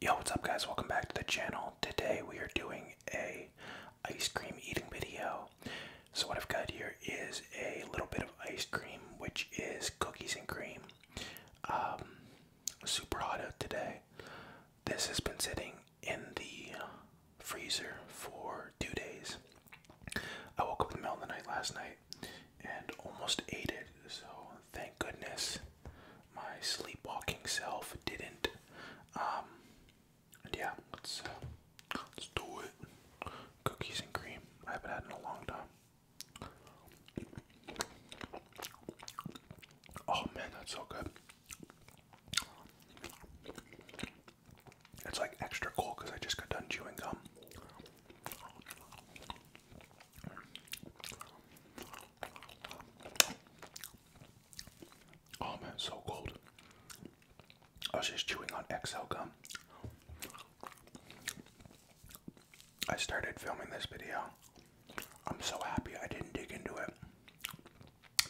Yo, what's up guys? Welcome back to the channel. Today we are doing a ice cream eating video. So what I've got here is a little bit of ice cream, which is cookies and cream. Um, super hot out today. This has been sitting in the freezer for two days. I woke up in the middle of the night last night and almost ate it, so thank goodness my sleepwalking self didn't. Um, yeah, let's uh, let's do it. Cookies and cream. I haven't had in a long time. Oh man, that's so good. It's like extra cold because I just got done chewing gum. Oh man, so cold. I was just chewing on XL gum. I started filming this video. I'm so happy I didn't dig into it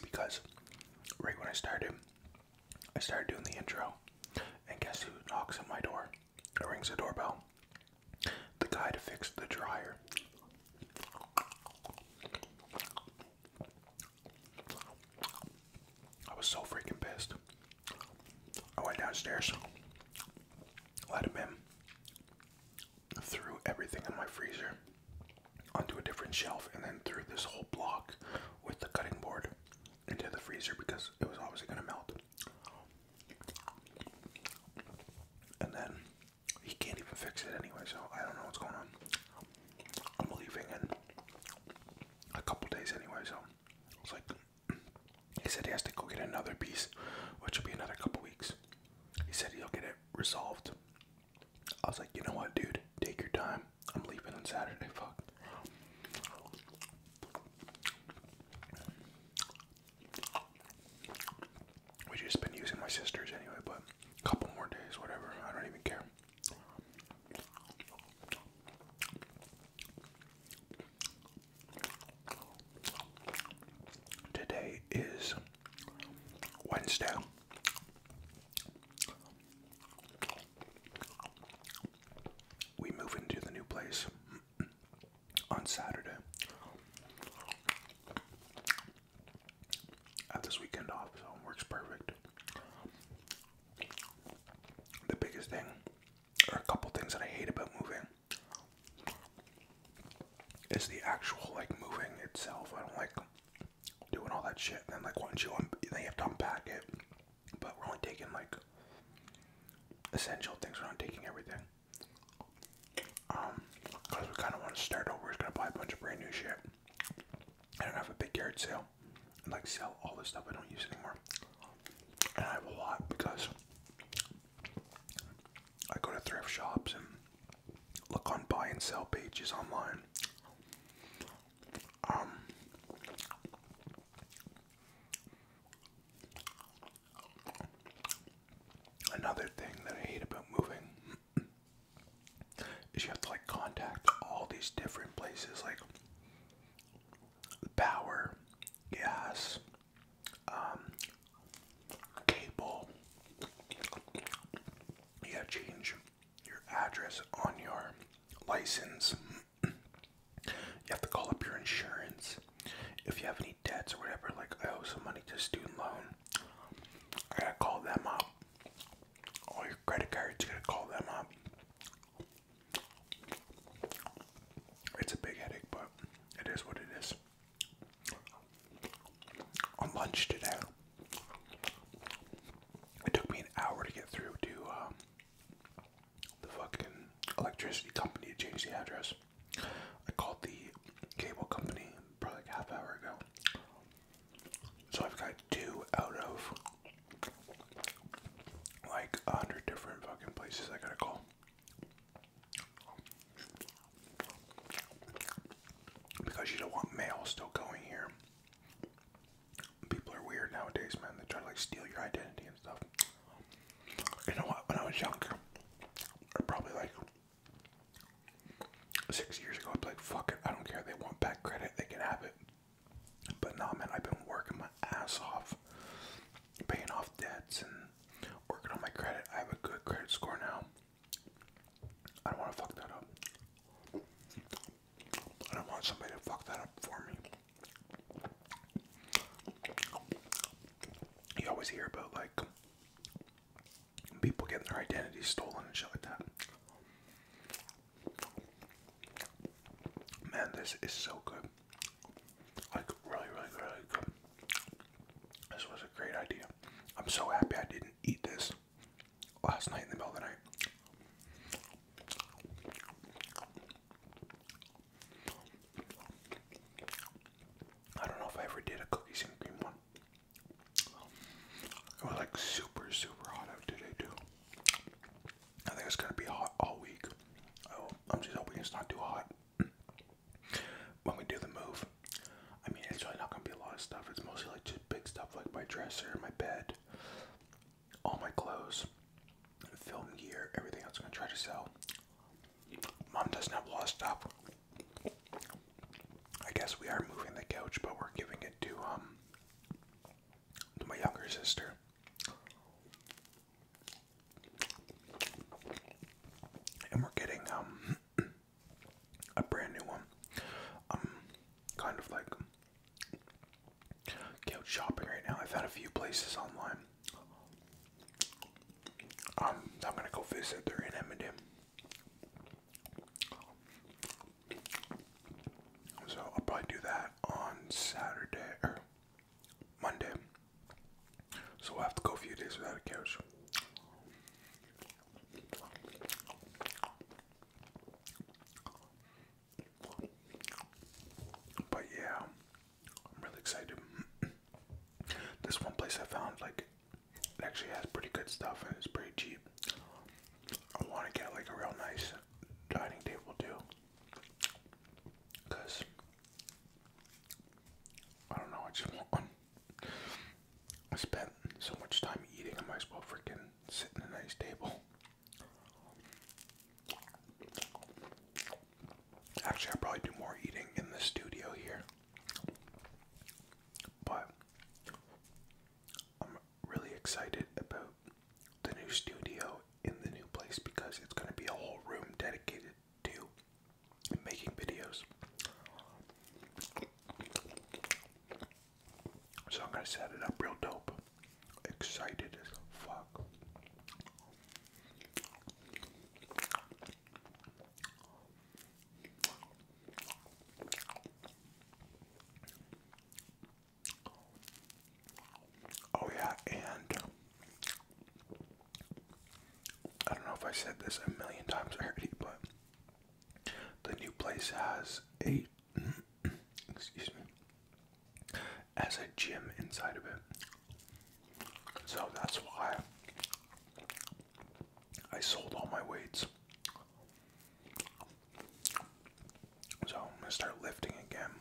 because right when I started, I started doing the intro, and guess who knocks on my door? rings the doorbell the guy to fix the dryer. I was so freaking pissed. I went downstairs, let him in, threw everything in my freezer onto a different shelf, and then threw this whole block with the cutting board into the freezer because it was obviously going to melt. And then he can't even fix it anyway, so I don't know what's going on. I'm leaving in a couple days anyway, so it's like he said he has to go get another piece, which will be another couple weeks. He said he'll get it resolved. I was like, you know what, dude, take your time. I'm leaving on Saturday. Fuck. We just been using my sister's anyway, but a couple more days, whatever. I don't even care. Today is Wednesday. We move into the new place on Saturday. have this weekend off, so it works perfect. The biggest thing, or a couple things that I hate about moving, is the actual like moving itself. I don't like doing all that shit. And like once you, then have to unpack it. But we're only taking like essential things. We're not taking everything because um, we kind of want to start over. We're gonna buy a bunch of brand new shit. I don't have a big yard sale and like sell all the stuff I don't use anymore. And I have a lot because I go to thrift shops and look on buy and sell pages online. Um, Another thing that I hate about moving is you have to like contact all these different places like power, gas, um, cable. You have to change your address on your license. You have to call up your insurance if you have any debts or whatever, like I owe some money to student loan, I gotta call them up. All your credit cards, you gotta call them up. It's a big headache, but it is what it is. On lunch today, it took me an hour to get through to um, the fucking electricity company to change the address. I called the cable company probably half hour ago. So I've got two out of like a hundred different fucking places I gotta call. Because you don't want mail still going here. People are weird nowadays, man. They try to like steal your identity and stuff. You know what? When I was younger, or probably like six years ago, i am like, fuck it, I don't care. They want back credit, they can have it. But nah, man, I've been working my ass off, paying off debts and working on my credit. I have a good credit score now. I don't want to fuck that up. I don't want somebody to fuck that up for me you always hear about like people getting their identities stolen and shit like that. Man, this is so good. Like really, really, really good. This was a great idea. I'm so happy I didn't eat this last night in the middle of the night. I don't know if I ever did a cookies and cream one. It was like super, super hot out today too. I think it's gonna be hot all week. I'm just hoping it's not too hot when we do the move. I mean, it's really not gonna be a lot of stuff. It's mostly like just big stuff like my dresser, my bed, all my clothes, film gear, everything else I'm gonna try to sell. Mom doesn't have a lot I guess we are moving the couch, but we're giving it to um to my younger sister. And we're getting um a brand new one. Um kind of like couch shopping right now. I have had a few places online um, I'm gonna go visit there in Emmendam. So I'll probably do that on Saturday or Monday. So we have to go a few days without a couch. But yeah, I'm really excited. this one place I found like it actually has pretty good stuff and it's pretty cheap. I want to get like a real nice dining table too, cause I don't know. I just want I spent so much time eating. I might as well freaking sit in a nice table. Actually, I'll probably do more eating in the studio here. But I'm really excited about the new studio in the new place because it's going to be a whole room dedicated to making videos. So I'm going to set it up real dope. Excited as fuck. Oh, yeah, and I don't know if I said this a million times already, but the new place has a excuse me as a gym inside of it. So that's why I sold all my weights. So I'm gonna start lifting again. I'm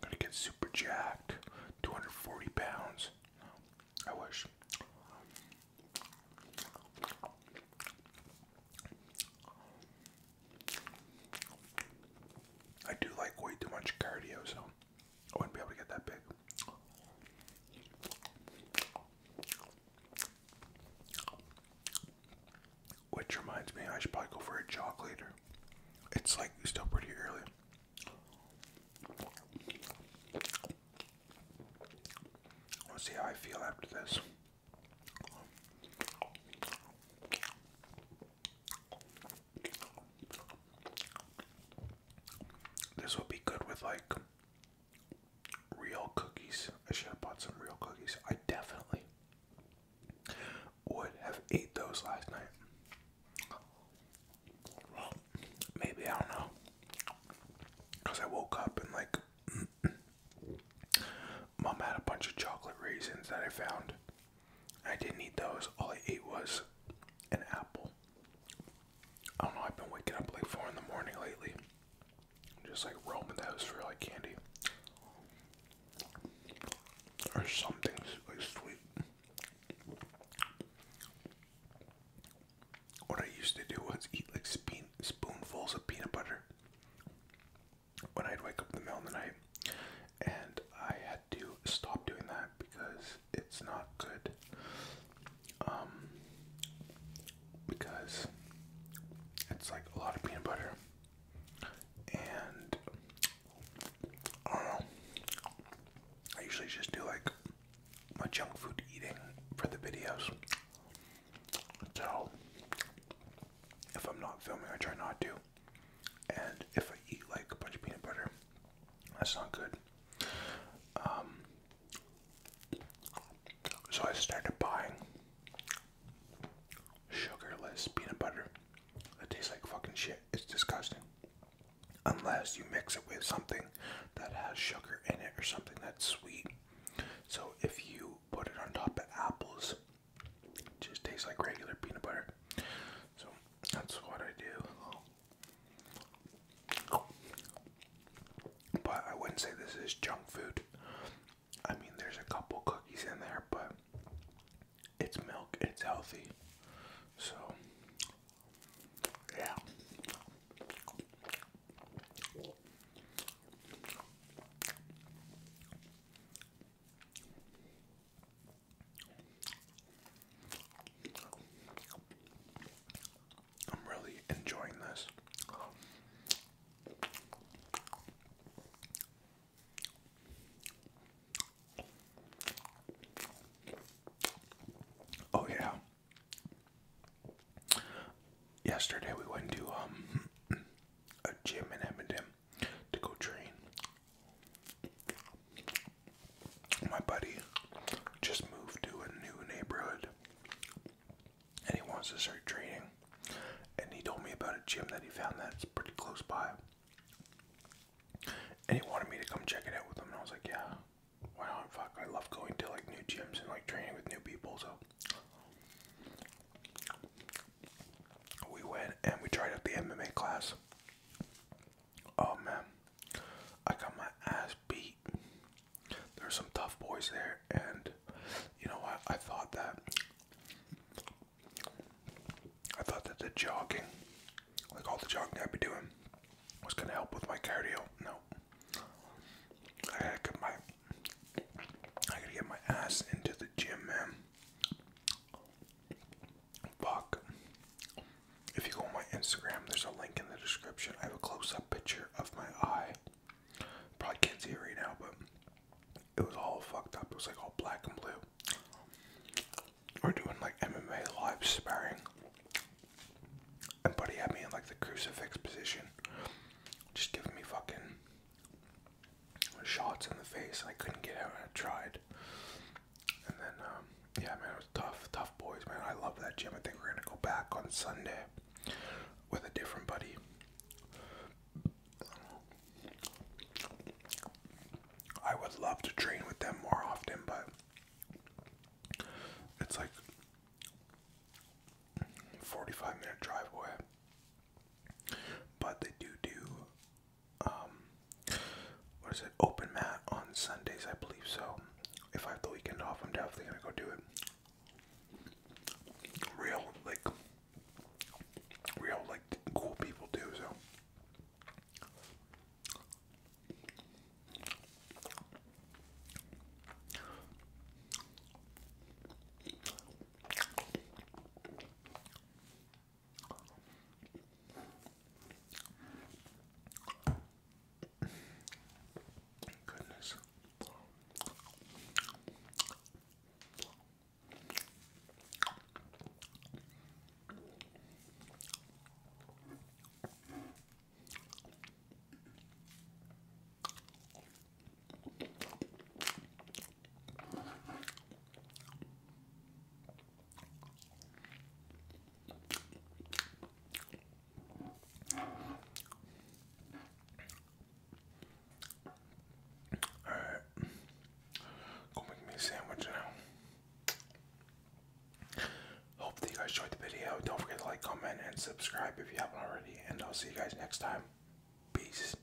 gonna get super jacked, 240 pounds. I wish. I do like way too much cardio, so I wouldn't be able to get that big. Which reminds me, I should probably go for a jog later. It's like still pretty early. Let's see how I feel after this. This will be good with like real cookies. I should have bought some real cookies. I definitely would have ate those last night. maybe I don't know. Cause I woke up and like mom had a bunch of chocolate raisins that I found I didn't eat those. All I ate was an apple. I don't know, I've been waking up like 4 in the morning lately. just like roaming the house for like candy. Or something like sweet. What I used to do was eat like spoon spoonfuls of peanut butter when I'd wake up in the middle of the night and I had to stop doing that because it's not good. Um, because it's like a lot of peanut butter, and I usually just do like my junk food eating for the videos. So if I'm not filming, I try not to. And if I eat like a bunch of peanut butter, that's not good. Um, so I started buying sugarless peanut butter. It tastes like fucking shit. It's disgusting. Unless you mix it with something that has sugar in it or something that's sweet. So if you put it on top of apples, it just tastes like regular peanut butter. So that's what I do. But I wouldn't say this is junk food. I mean, there's a couple cookies in there, but it's milk, it's healthy. So, yeah. I'm really enjoying this. Oh yeah. Yesterday we went to um a gym in Edmonton to go train. My buddy just moved to a new neighborhood and he wants to start training. And he told me about a gym that he found that's pretty close by. And he wanted me to come check it out with him. And I was like, yeah, why not? Fuck, I love going to like new gyms and like training with new people. So we went and we tried out the MMA class. Oh man, I got my ass beat. There's some tough boys there, and you know what? I thought that I thought that the jogging, like all the jogging I'd be doing, was gonna help with my cardio. No, I gotta get my I gotta get my ass into the gym, man. Fuck. If you go on my Instagram, there's a link in the description. I have a close up picture of my eye. Probably can't see it right now, but it was all fucked up. It was like all black and blue. We're doing like MMA live sparring. And Buddy had me in like the crucifix position. Just giving me fucking shots in the face and I couldn't get out. I tried. And then, um, yeah, man, it was tough, tough boys, man. I love that gym. I think we're going to go back on Sunday with a different buddy. I would love to train with them more often, but it's like 45 minute drive away. But they do do um, what is it? Open mat on Sundays, I believe. So if I have the weekend off, I'm definitely gonna go do it. Real, like, real, like, cool people do. So. Goodness. Alright, go make me a sandwich now. Hope you guys enjoyed the video. Don't forget to like, comment, and subscribe if you haven't already. And I'll see you guys next time. Peace.